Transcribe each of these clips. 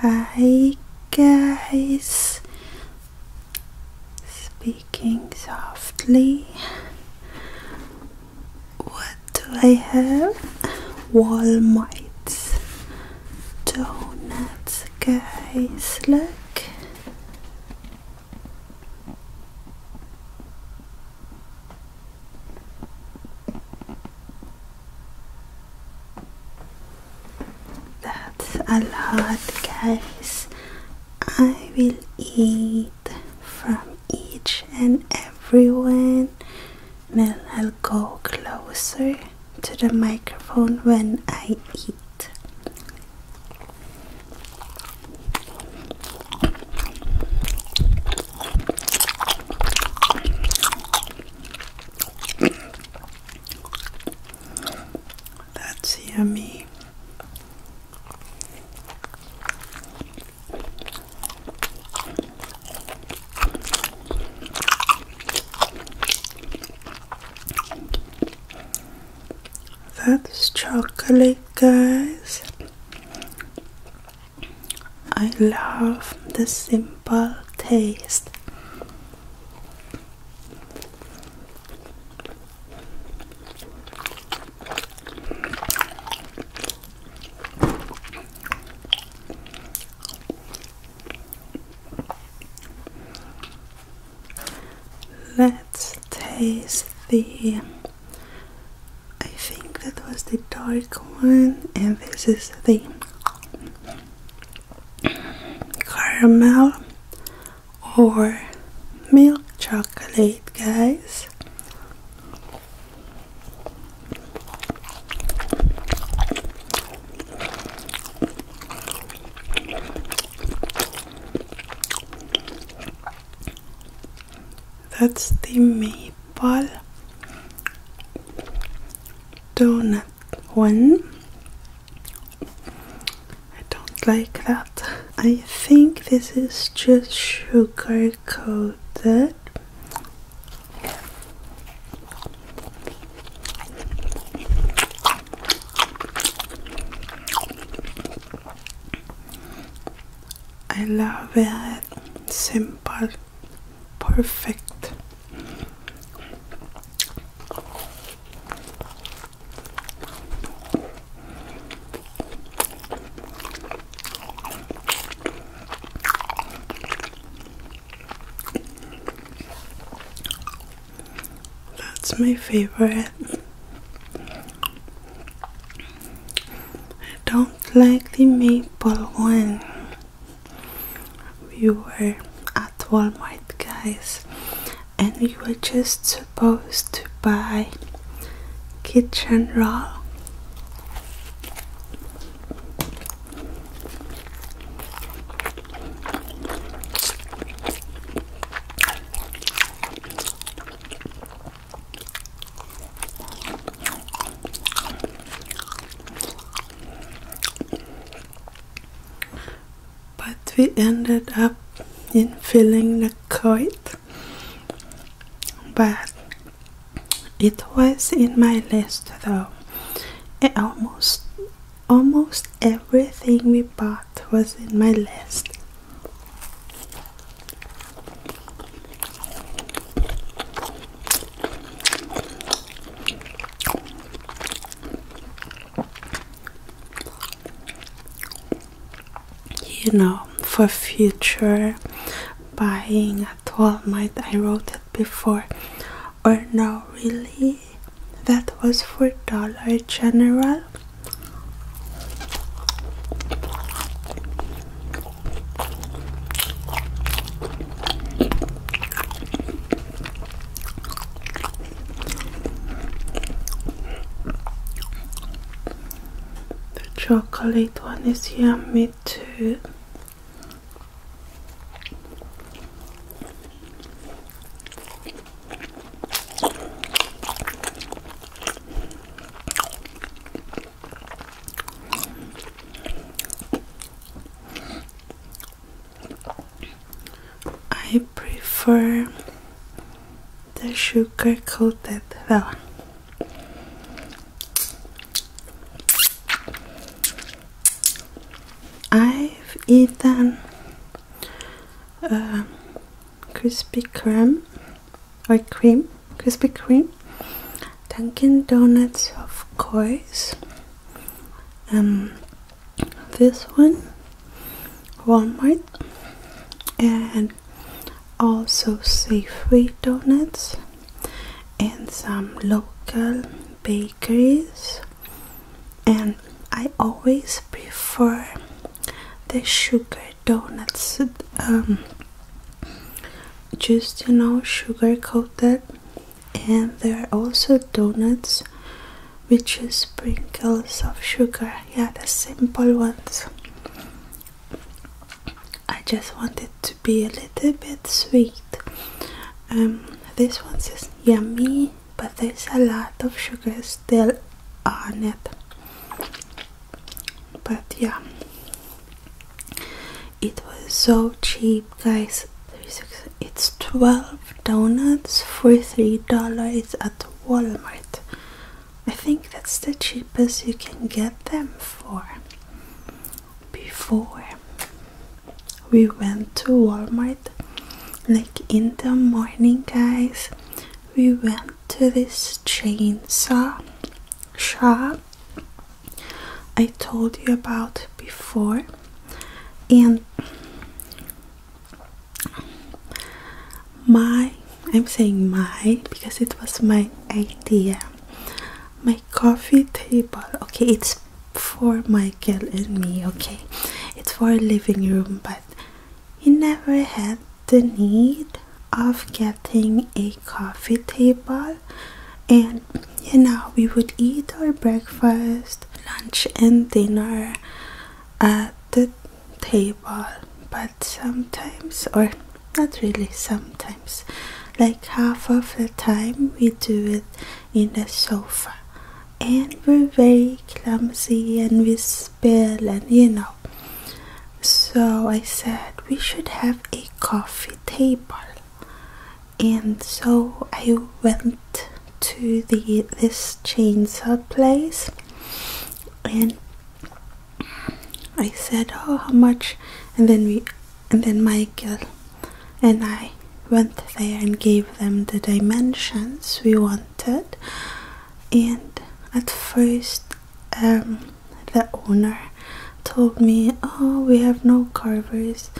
Hi guys, speaking softly. What do I have? Wall mites, donuts, guys. Look, that's a lot guys. I will eat from each and everyone, and I'll go closer to the microphone when I eat. That's yummy. That's chocolate, guys. I love the simple taste. Let's taste the I think that was the dark one and this is the caramel or milk chocolate, guys. That's the maple ball donut one. I don't like that. I think this is just sugar coated. I love it. Simple, perfect. That's my favorite. I don't like the maple one we were at Walmart, guys, and we were just supposed to buy kitchen roll. But we ended up in filling the coat. But it was in my list though. It eh, almost almost everything we bought was in my list. You know, for future buying at Walmart, I wrote it before. Or no, really, that was for Dollar General. The chocolate one is yummy too. I prefer the sugar coated one. I've eaten uh, Krispy Kreme or cream, Krispy Kreme Dunkin' Donuts, of course. Um, this one, Walmart, and also Safeway donuts, and some local bakeries. And I always prefer the sugar donuts, um, just you know, sugar coated and there are also donuts which is sprinkles of sugar yeah the simple ones I just want it to be a little bit sweet um, this one is yummy but there's a lot of sugar still on it but yeah it was so cheap, guys. It's 12 donuts for $3 at Walmart. I think that's the cheapest you can get them for. Before we went to Walmart, like in the morning, guys, we went to this chainsaw shop I told you about before, and my I'm saying my because it was my idea. My coffee table, okay, it's for Michael and me, okay, it's for a living room, but he never had the need of getting a coffee table and you know we would eat our breakfast lunch and dinner at the table but sometimes or not really sometimes like half of the time we do it in the sofa and we're very clumsy and we spill and you know so i said we should have a coffee table and so I went to the this chainsaw place and I said oh how much and then we and then Michael and I went there and gave them the dimensions we wanted and at first um, the owner told me, Oh, we have no carvers.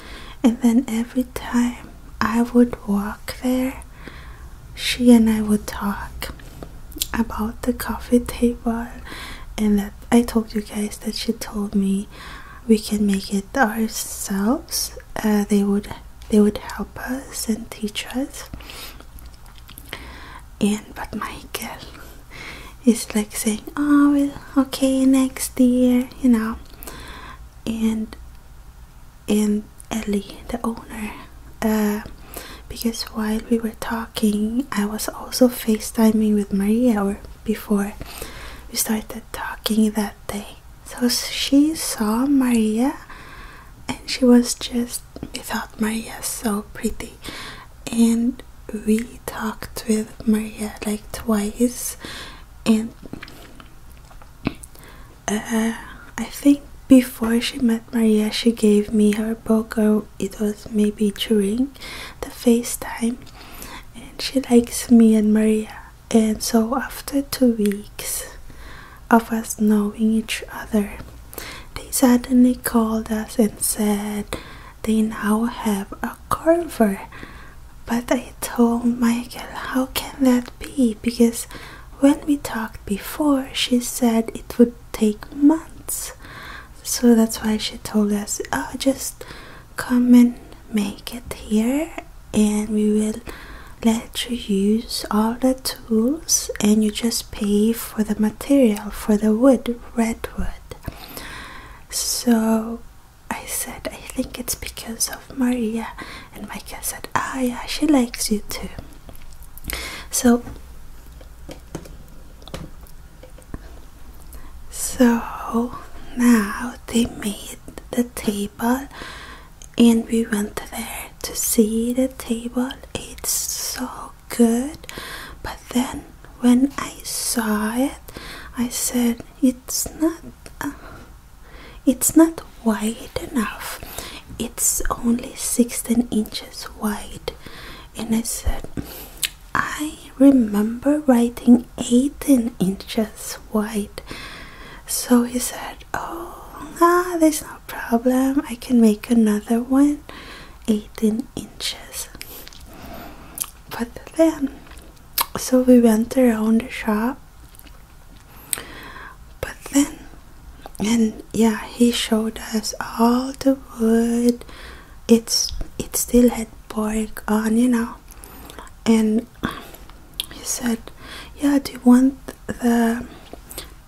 And then every time I would walk there, she and I would talk about the coffee table. And that I told you guys that she told me we can make it ourselves. Uh, they would they would help us and teach us. And but Michael, it's like saying oh well okay next year you know and and ellie the owner uh, because while we were talking i was also facetiming with maria or before we started talking that day so she saw maria and she was just we thought maria so pretty and we talked with Maria like twice and uh, I think before she met Maria she gave me her book it was maybe during the FaceTime and she likes me and Maria and so after two weeks of us knowing each other they suddenly called us and said they now have a carver. But I told Michael, how can that be? Because when we talked before, she said it would take months. So that's why she told us, oh, just come and make it here, and we will let you use all the tools, and you just pay for the material for the wood, redwood. So I said, I think it's because of Maria. And Micah said, Ah, yeah, she likes you too. So, so now they made the table, and we went there to see the table. It's so good. But then when I saw it, I said, it's not uh, it's not wide enough it's only 16 inches wide and i said i remember writing 18 inches wide so he said oh ah, there's no problem i can make another one 18 inches but then so we went around the shop but then and yeah he showed us all the wood it's it still had pork on you know and he said yeah do you want the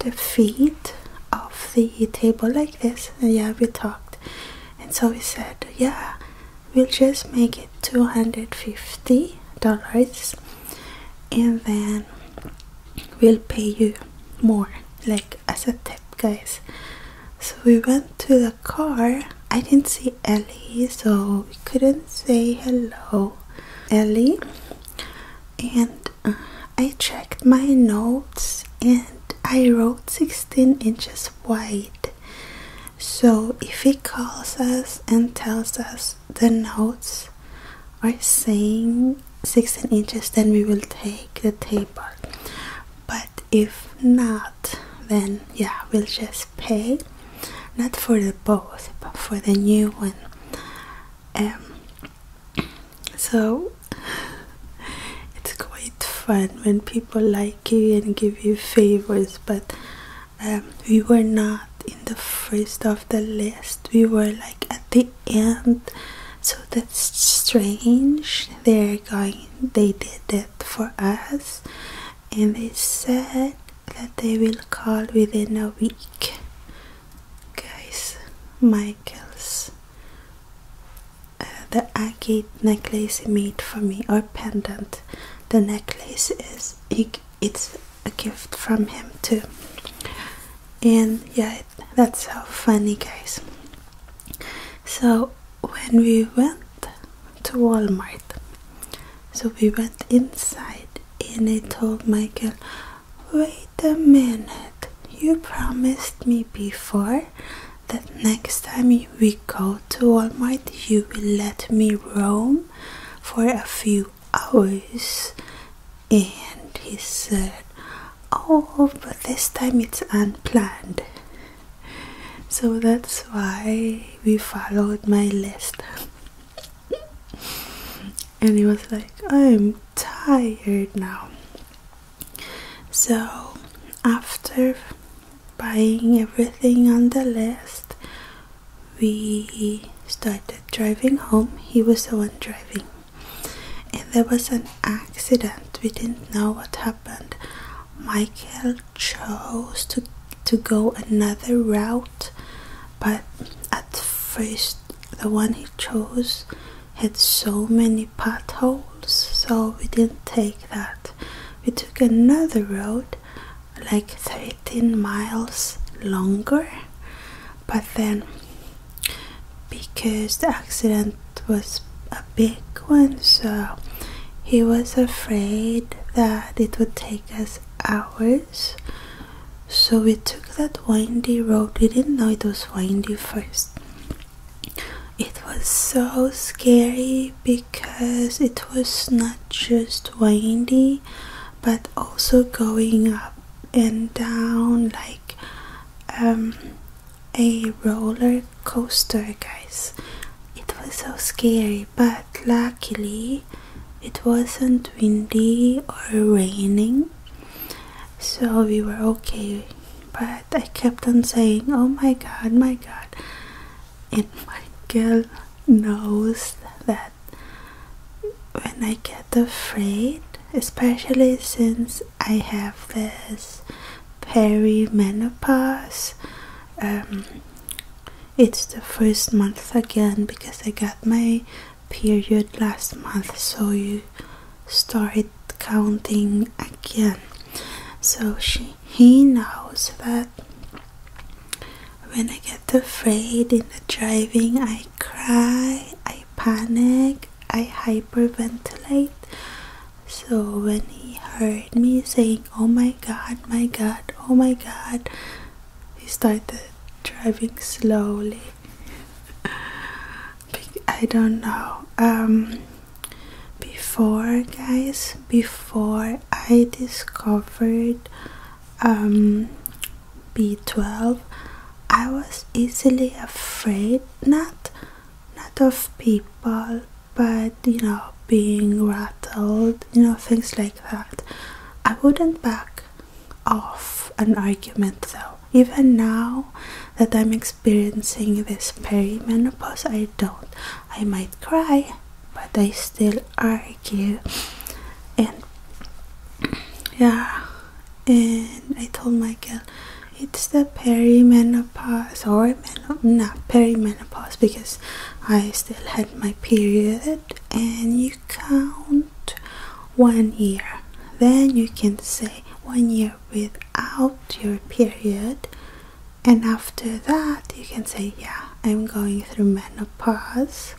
the feet of the table like this and yeah we talked and so he said yeah we'll just make it $250 and then we'll pay you more like as a tip guys so we went to the car i didn't see ellie so we couldn't say hello ellie and uh, i checked my notes and i wrote 16 inches wide so if he calls us and tells us the notes are saying 16 inches, then we will take the taper. But if not, then yeah, we'll just pay not for the both, but for the new one. Um, so it's quite fun when people like you and give you favors but um, we were not in the first of the list we were like at the end so that's strange they're going they did that for us and they said that they will call within a week guys michael's uh, the agate necklace made for me or pendant the necklace is it's a gift from him too and yeah that's how funny guys so when we went to walmart so we went inside and i told michael wait a minute you promised me before that next time we go to Walmart, you will let me roam for a few hours. And he said, Oh, but this time it's unplanned. So that's why we followed my list. and he was like, I'm tired now. So after buying everything on the list, we started driving home. He was the one driving, and there was an accident. We didn't know what happened. Michael chose to to go another route, but at first the one he chose had so many potholes, so we didn't take that we took another road like 13 miles longer but then because the accident was a big one so he was afraid that it would take us hours so we took that windy road we didn't know it was windy first it was so scary because it was not just windy but also going up and down like um, a roller coaster, guys. It was so scary, but luckily it wasn't windy or raining, so we were okay. But I kept on saying, Oh my god, my god. And Michael knows that when I get afraid, especially since I have this perimenopause, um, it's the first month again because I got my period last month, so you start counting again so she he knows that when I get afraid in the driving I cry I panic I hyperventilate so when he heard me saying oh my god my god oh my god he started driving slowly I don't know um, before guys before I discovered um, B12 I was easily afraid not not of people but you know being rattled you know things like that I wouldn't back off an argument though even now that I'm experiencing this perimenopause I don't I might cry but I still argue. And yeah, and I told my girl it's the perimenopause or meno not perimenopause because I still had my period, and you count one year, then you can say one year without your period and after that you can say yeah i'm going through menopause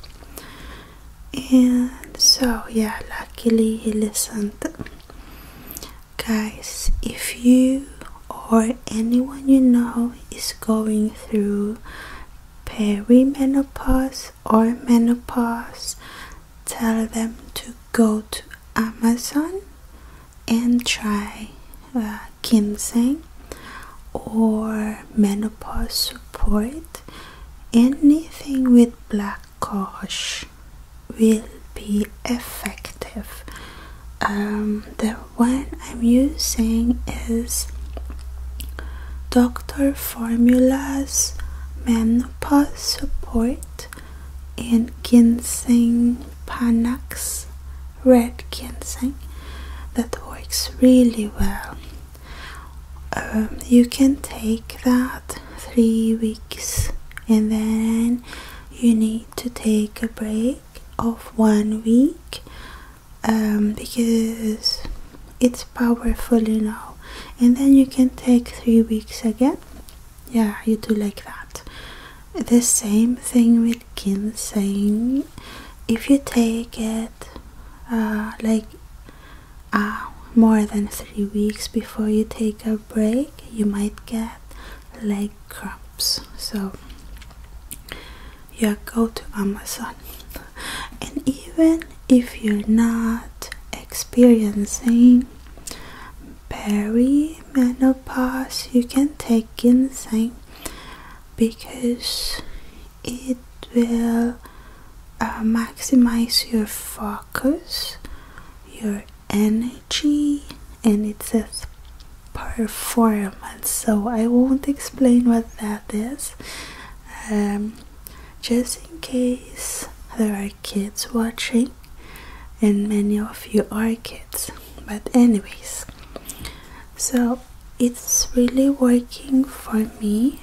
and so yeah luckily he listened guys if you or anyone you know is going through perimenopause or menopause tell them to go to amazon and try that. Uh, ginseng or menopause support, anything with black cohosh will be effective. Um, the one I'm using is Dr. Formula's Menopause Support and Ginseng Panax red ginseng that works really well. Um, you can take that three weeks and then you need to take a break of one week um, because it's powerful you know and then you can take three weeks again yeah you do like that the same thing with ginseng if you take it uh, like uh, more than three weeks before you take a break you might get leg cramps so yeah go to amazon and even if you're not experiencing perimenopause you can take ginseng because it will uh, maximize your focus, your energy, and it says performance. So I won't explain what that is, um, just in case there are kids watching, and many of you are kids but anyways so it's really working for me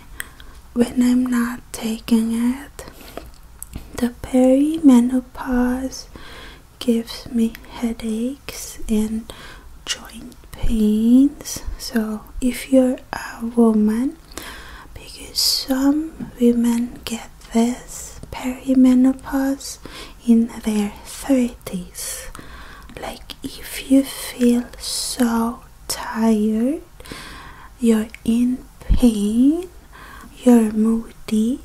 when I'm not taking it the perimenopause gives me headaches and joint pains so if you're a woman because some women get this perimenopause in their 30s. Like if you feel so tired, you're in pain, you're moody,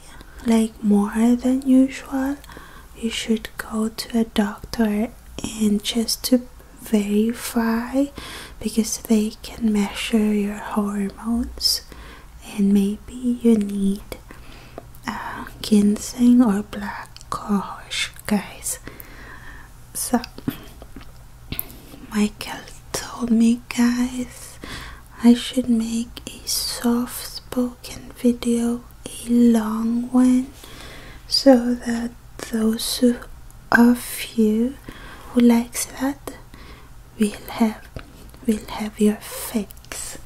like more than usual, you should go to a doctor and just to verify because they can measure your hormones and maybe you need uh, ginseng or black cohosh, guys. So, Michael told me, guys, I should make a soft spoken video, a long one, so that those of you who likes that will have will have your fix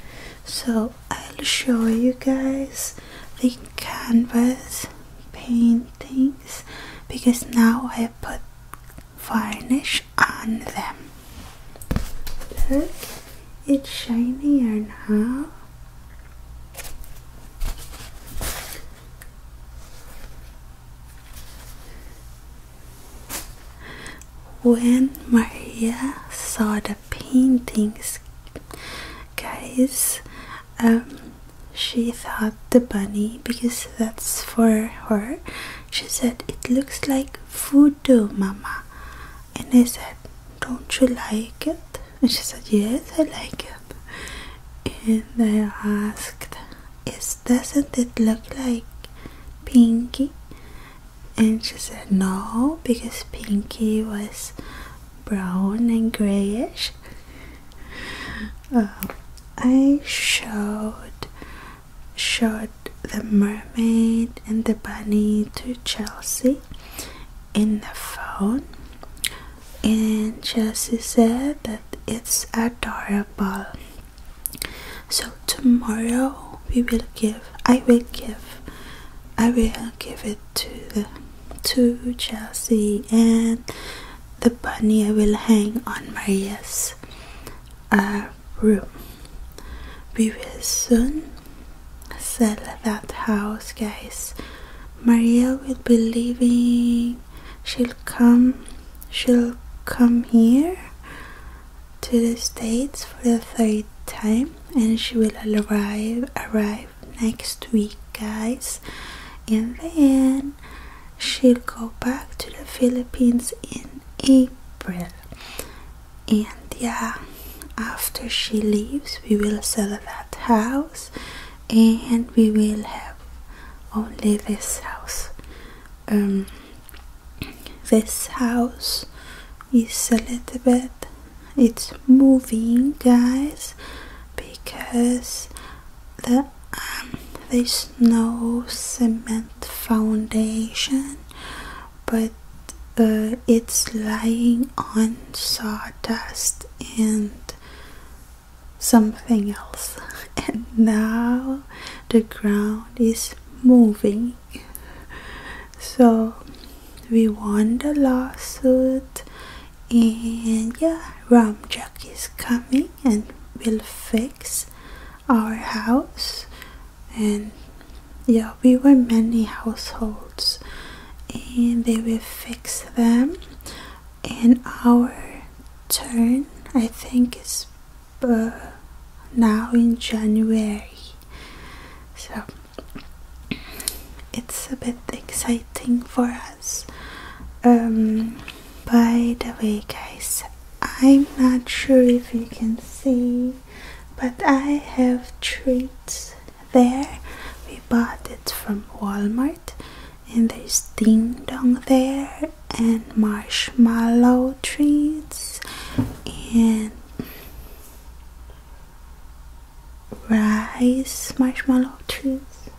so I'll show you guys the canvas paintings because now I put varnish on them look it's shinier now when Maria saw the paintings, guys. Um, she thought the bunny because that's for her. She said, It looks like voodoo, mama. And I said, Don't you like it? And she said, Yes, I like it. And I asked, doesn't it look like Pinky? and she said no because Pinky was brown and grayish. Um, I showed showed the mermaid and the bunny to Chelsea in the phone and Chelsea said that it's adorable. So tomorrow we will give I will give I will give it to the to Chelsea and the bunny I will hang on Maria's uh, room. We will soon sell that house guys. Maria will be leaving she'll come she'll come here to the States for the third time and she will arrive arrive next week guys and then she'll go back to the Philippines in April and yeah after she leaves we will sell that house and we will have only this house um this house is a little bit it's moving guys because um, there's no cement foundation but uh, it's lying on sawdust and something else and now the ground is moving so we won the lawsuit and yeah Ram Jack is coming and will fix our house and yeah we were many households and they will fix them and our turn i think it's uh, now in january so it's a bit exciting for us. Um, by the way, guys, I'm not sure if you can see, but I have treats there. We bought it from Walmart, and there's ding dong there, and marshmallow treats, and rice marshmallow chips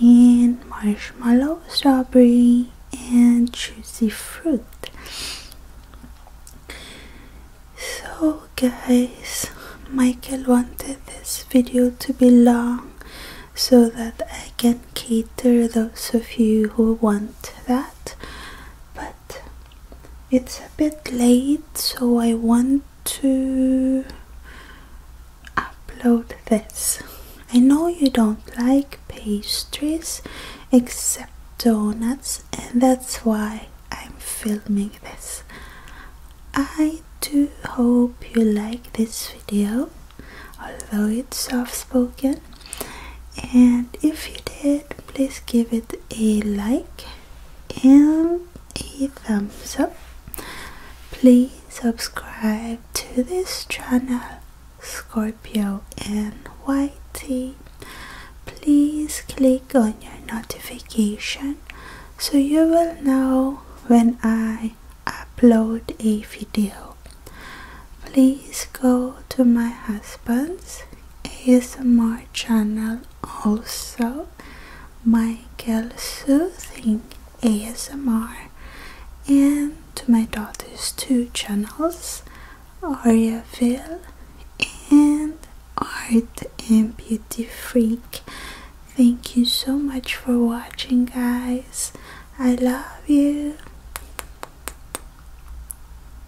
and marshmallow strawberry and juicy fruit so guys michael wanted this video to be long so that i can cater those of you who want that but it's a bit late, so I want to upload this. I know you don't like pastries except donuts, and that's why I'm filming this. I do hope you like this video, although it's soft spoken and if you did please give it a like and a thumbs up please subscribe to this channel Scorpio and please click on your notification so you will know when I upload a video please go to my husband's ASMR channel also Michael Soothing ASMR and to my daughter's two channels Aria Ariaville and Art and Beauty Freak. Thank you so much for watching guys. I love you.